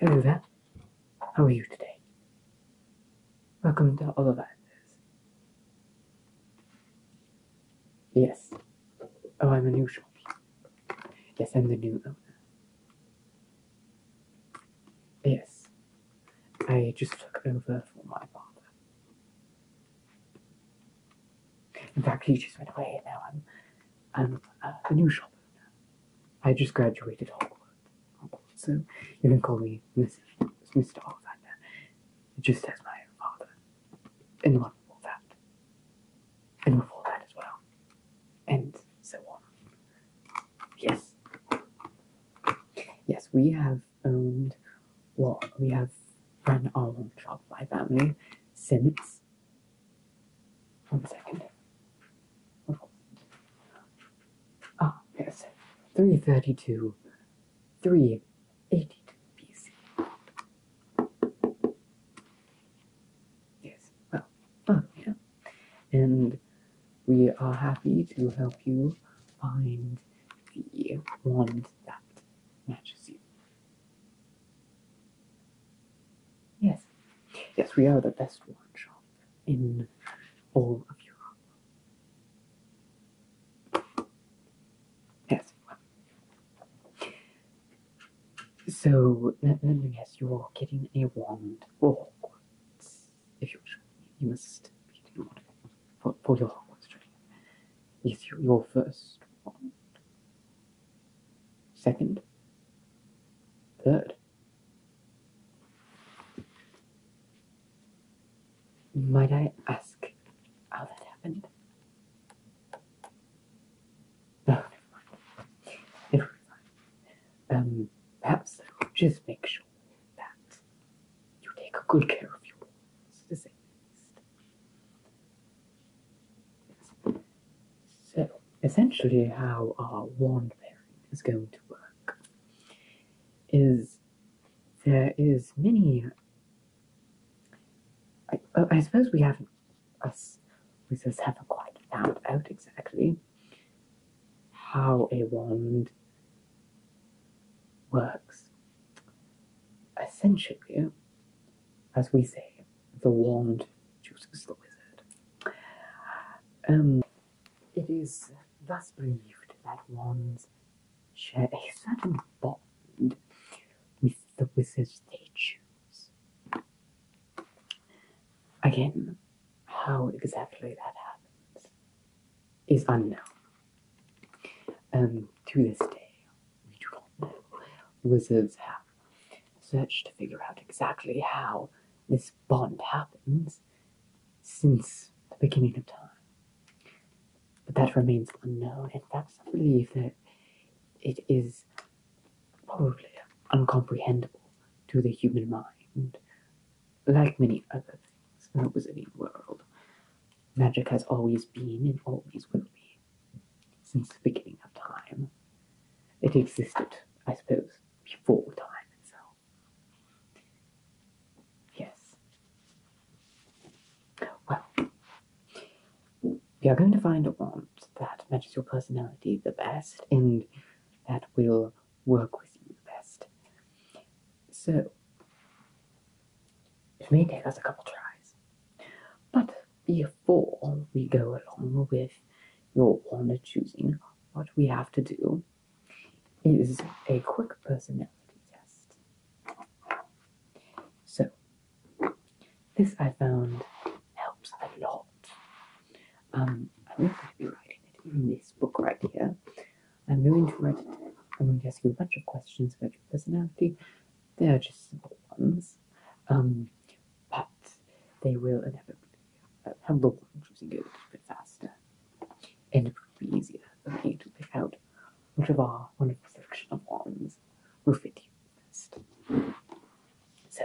Hello there. How are you today? Welcome to all of us. Yes. Oh, I'm a new shop. Yes, I'm the new owner. Yes, I just took over for my father. In fact, he just went away. Now I'm, I'm uh, a new shop owner. I just graduated Hogwarts, so you can call me Miss, Mr. Ollivander, just as my father. And before that. And before that as well. And so on. Yes. Yes, we have owned, well, we have run our own Shopify family since. One second. Ah, yes, 332, 382 Yes, well, oh, yeah and we are happy to help you find the wand that matches you. Yes, yes, we are the best wand shop in all of Europe. Yes. So yes, you're getting a wand for if you wish, you must be in order for, for your Hogwarts journey. Is you, your first one, second, third? Might I ask how that happened? Oh, never mind. Never Um, perhaps just make sure that you take good care of your boys, So, essentially, how our wand pairing is going to work is there is many. I, suppose we haven't us we still haven't quite found out exactly how a wand works. Essentially, as we say, the wand chooses the wizard. Um, it is thus believed that wands share a certain bond with the wizards they choose. Again, how exactly that happens is unknown. Um, to this day, we do not know. Wizards have searched to figure out exactly how this bond happens since the beginning of time. But that remains unknown. In fact, I believe that it is probably uncomprehendable to the human mind like many other things in the wizarding world, magic has always been and always will be, since the beginning of time. It existed, I suppose, before time itself. Yes. Well, you are going to find a wand that matches your personality the best and that will work with you best. So it may take us a couple tries. But before we go along with your honor choosing, what we have to do is a quick personality test. So this I found helps a lot I'm going to be writing it in this book right here. I'm going to write it. I'm going to ask you a bunch of questions about your personality. They are just simple ones, um, but they will inevitably have uh, the one choosing go a little bit faster, and it will be easier for me to pick out which of our wonderful selection of ones will fit you best. So,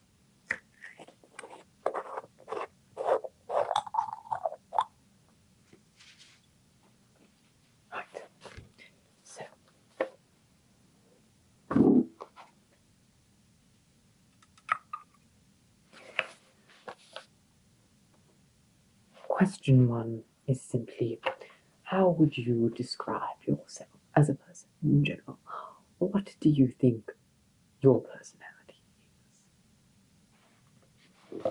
Right. So Question one is simply how would you describe yourself as a person? in general. What do you think your personality is?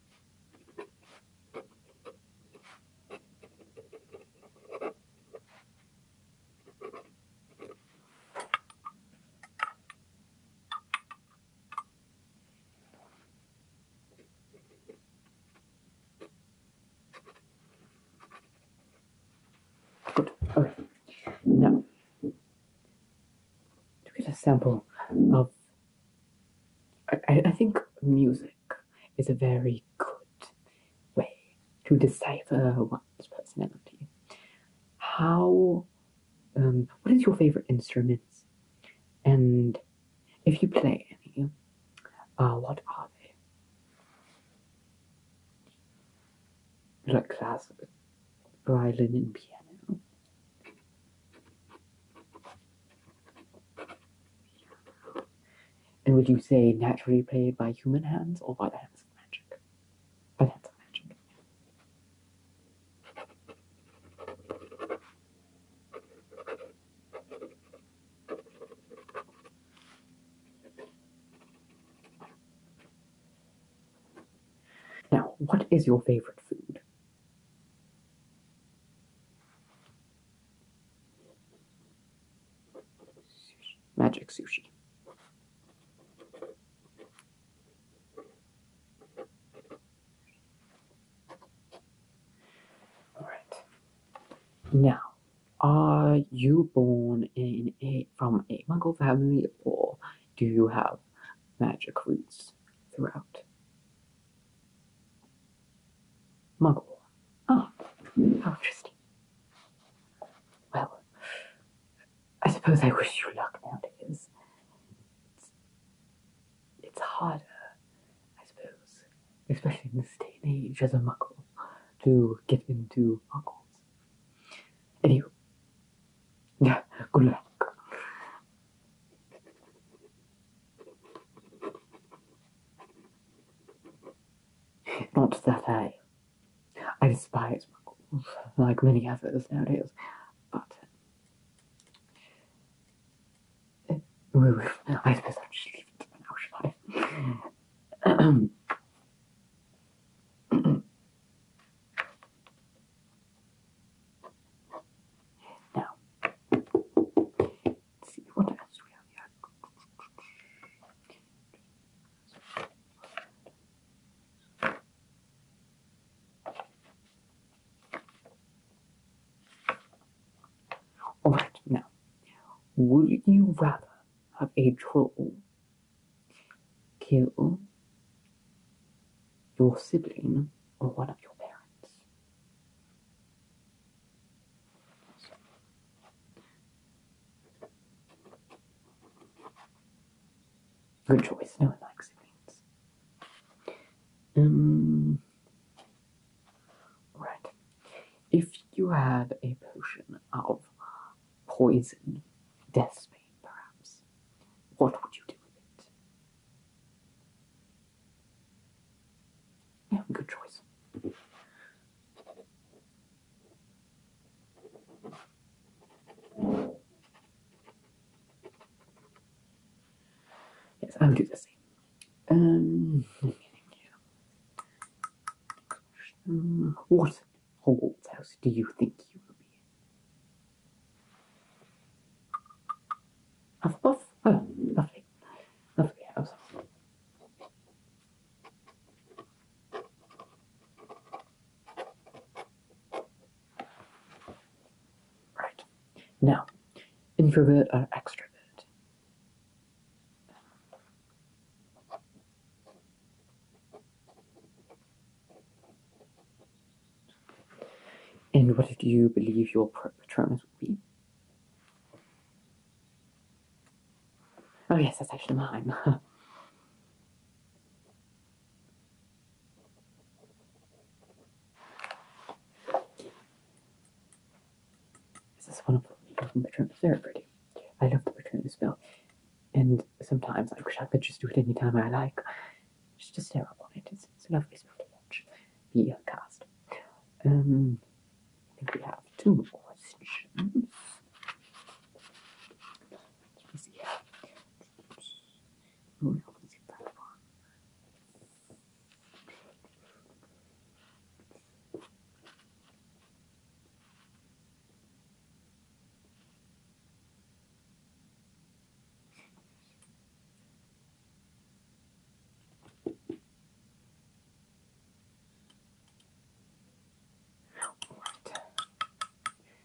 Good. Okay. Now, to get a sample of I, I think music is a very good way to decipher one's personality. How, um, what is your favorite instruments? And if you play any, uh, what are they? Like classic violin and piano. And would you say naturally played by human hands or by the hands of magic? By the hands of magic. Now, what is your favorite food? Magic sushi. All right. Now, are you born in a from a Mongol family, or do you have magic roots? throughout. Muggle. Oh, how interesting. Well, I suppose I wish you luck nowadays. It's, it's harder, I suppose, especially in this day and age as a muggle, to get into muggles. Anyway, yeah, good luck. Not that I, I despise McCall, like many others nowadays, but uh, I suppose I'll just leave it for now, shall now, see what else we have here. Alright, now, would you rather have a troll kill your sibling or one of your parents. Good choice, no one likes siblings. Um, right. If you have a potion of poison, death's spade perhaps, what would you do with it? Yeah, good choice. Yes, I will do the same. Um, what old house do you think you will be in? Huff puff. Oh, lovely. Lovely house. Right. Now, introvert or extrovert? And what do you believe your patronus would be? Oh yes, that's actually mine. this is one of the patronus. Very pretty. I love the patronus well. And sometimes I wish I could just do it anytime I like. It's just terrible. It is, it's a lovely spell to watch be cast. Um, I think we have two more questions. Let me see here. Oh, is it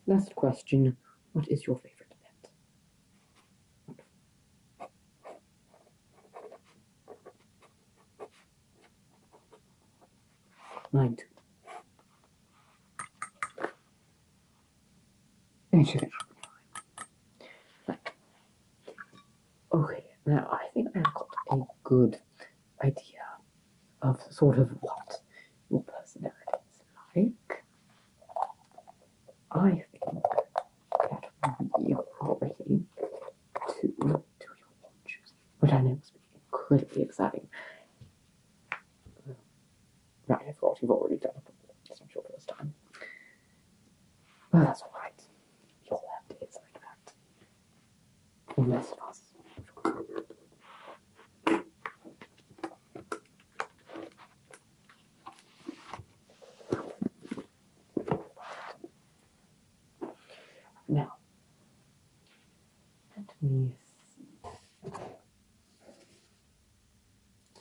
Last question. What is your favorite pet? Mine Okay. now I think I've got a good idea of sort of what your personality is like. I think that we are ready to do your launches, which I know must be incredibly exciting. Right. I thought you've already done it before. It's not your first time. But that's alright. You all have like that. Most Now, let me third one.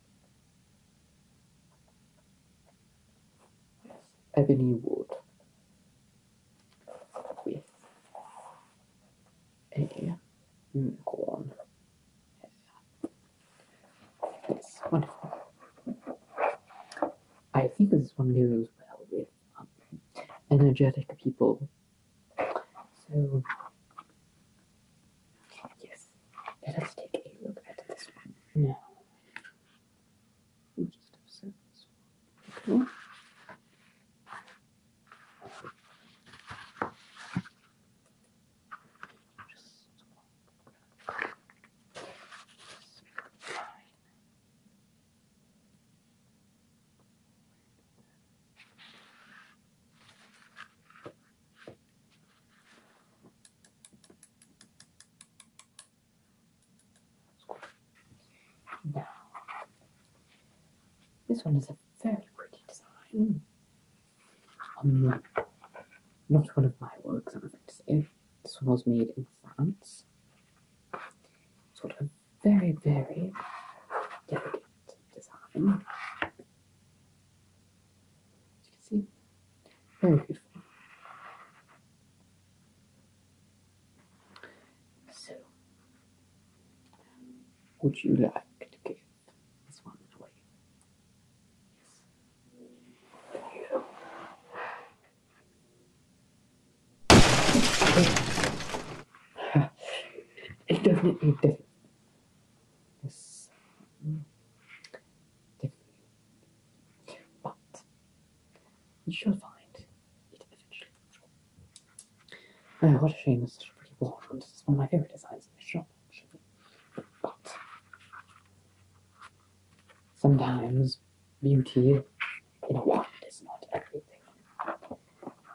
ebony wood with a unicorn. It's wonderful. I think this one goes well with um, energetic people. So, yes, let us take a look at this one now. We'll just upset this one. Okay. Just this one is a very pretty design. Hmm. Um, not one of my works, I'm afraid to say. This one was made in France. Sort of very, very delicate design see. Very beautiful. So, would you like to give this one away? Yes. There you go. it mm. definitely, definitely, yes, but you shall find it eventually. Oh, what a shame it's such a pretty wallfront. This is one of my favourite designs in the shop, But sometimes beauty in a wand is not everything.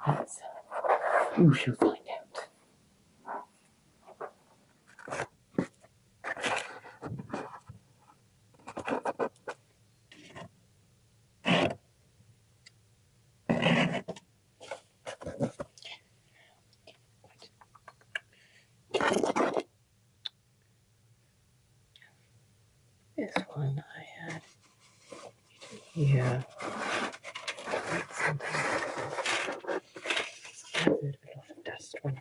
As uh, you shall find out this one I had Yeah. Something. I a dust when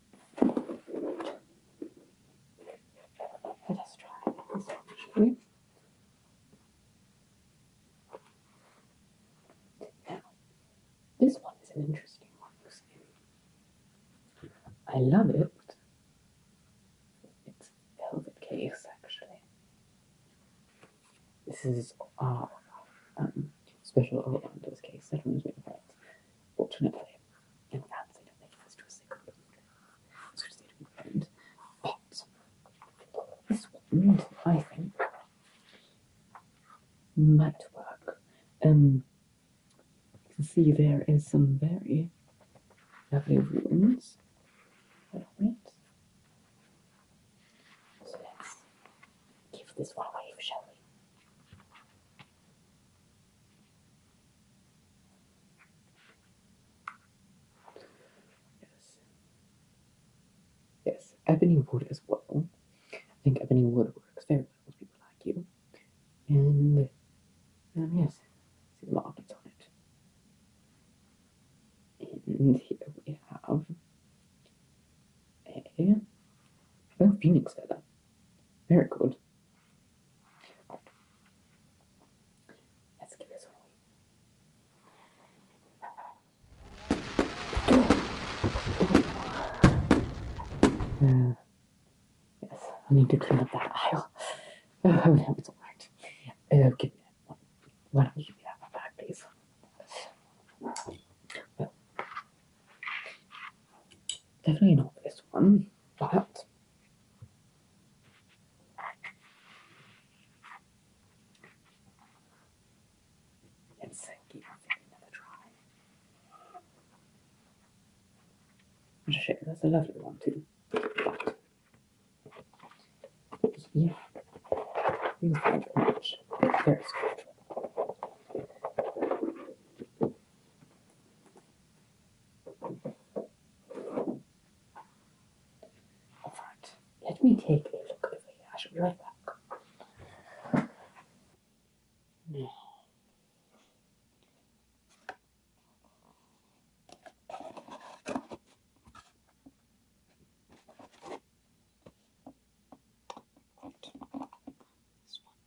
Let us try this one, Now, this one is an interesting one, I love it. It's velvet case, actually. This is our uh, um, special Orlando's case. That one reminds me in that. Fortunately, and outside of that was to a second So to say But this wand, I think, might work. Um you can see there is some very lovely ruins on So let's give this one away, shall we? Yes. Yes, ebony wood as well. I think ebony wood works very well with people like you. And um, yes, see the markings on it. And here we have a oh, phoenix feather. Very good. Let's give this one away. yes, I need to clean up that aisle. Oh, it's alright. Uh, give Why don't you give me that one back, please? definitely not this one that. Let's give everything another try. that's a lovely one too. yeah, these much very special. All right, let me take a look over here. I shall be right back. This one.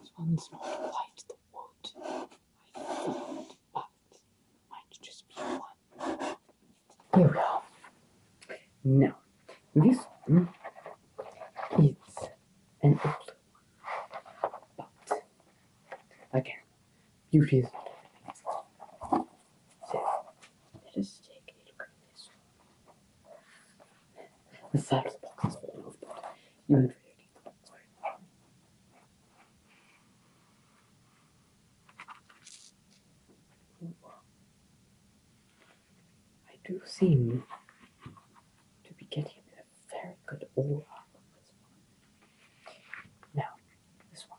This one's not quite the wood I thought, but might just be one. Here we go. Now, this one is an old one, but again, you is not everything. let us take a look at this one. The side of the box is all over, even if I do seem to be getting a very good aura on Now, this one.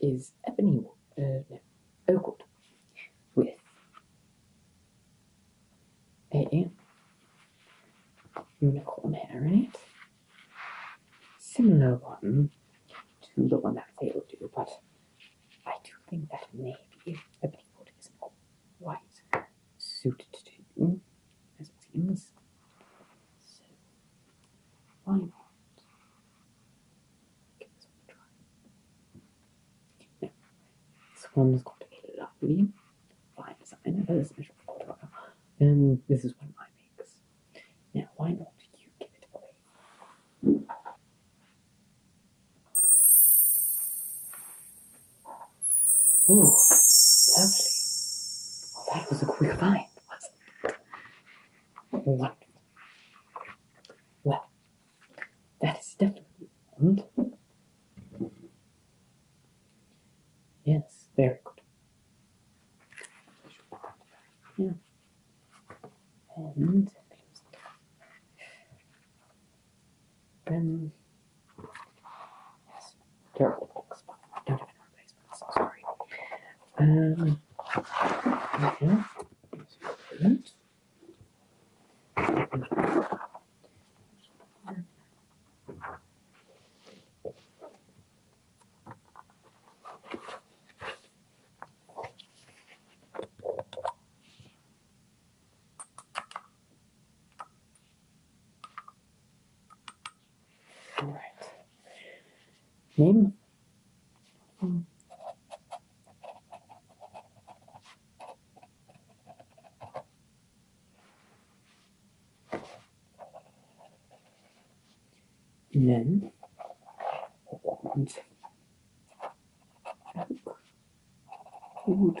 is Ebony uh, no, Oakwood with a unicorn hair in it. Similar one to the one that failed you, but I do think that navy Ebony Wood isn't quite suited to as it seems. So, why not? this one a try. Now, this one's got a lovely fine design. That is measured for And this is one of my makes. Now, why not you give it away? Oh, lovely. Well, that was a quick find, What? Well, that is definitely one. Yes, very good. Yeah. And um, yes, terrible don't have an sorry. Um, Okay. All right. Name Mm. And then want oak wood.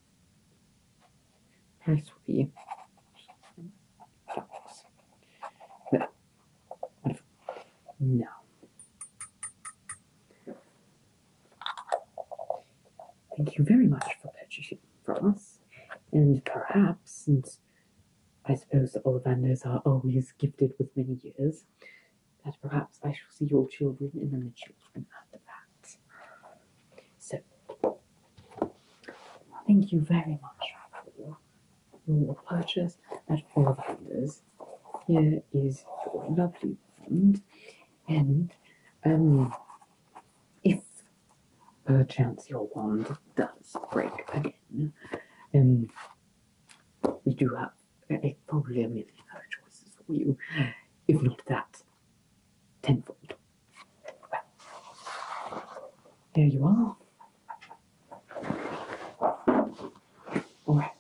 has to be no. Thank you very much for purchasing from us. And perhaps, since I suppose the Ollivanders are always gifted with many years, that perhaps I shall see your children and then the children after that. So, thank you very much for your purchase and at Ollivanders. Here is your lovely wand, and um, if perchance your wand does break again, um, we do have a probably a million other choices for you. If not that, tenfold. There you are. All right.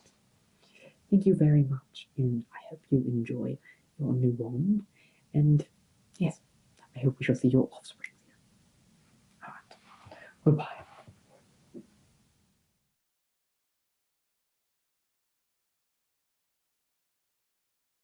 Thank you very much, and I hope you enjoy your new one. And yes, I hope we shall see your offspring soon. All right. Goodbye.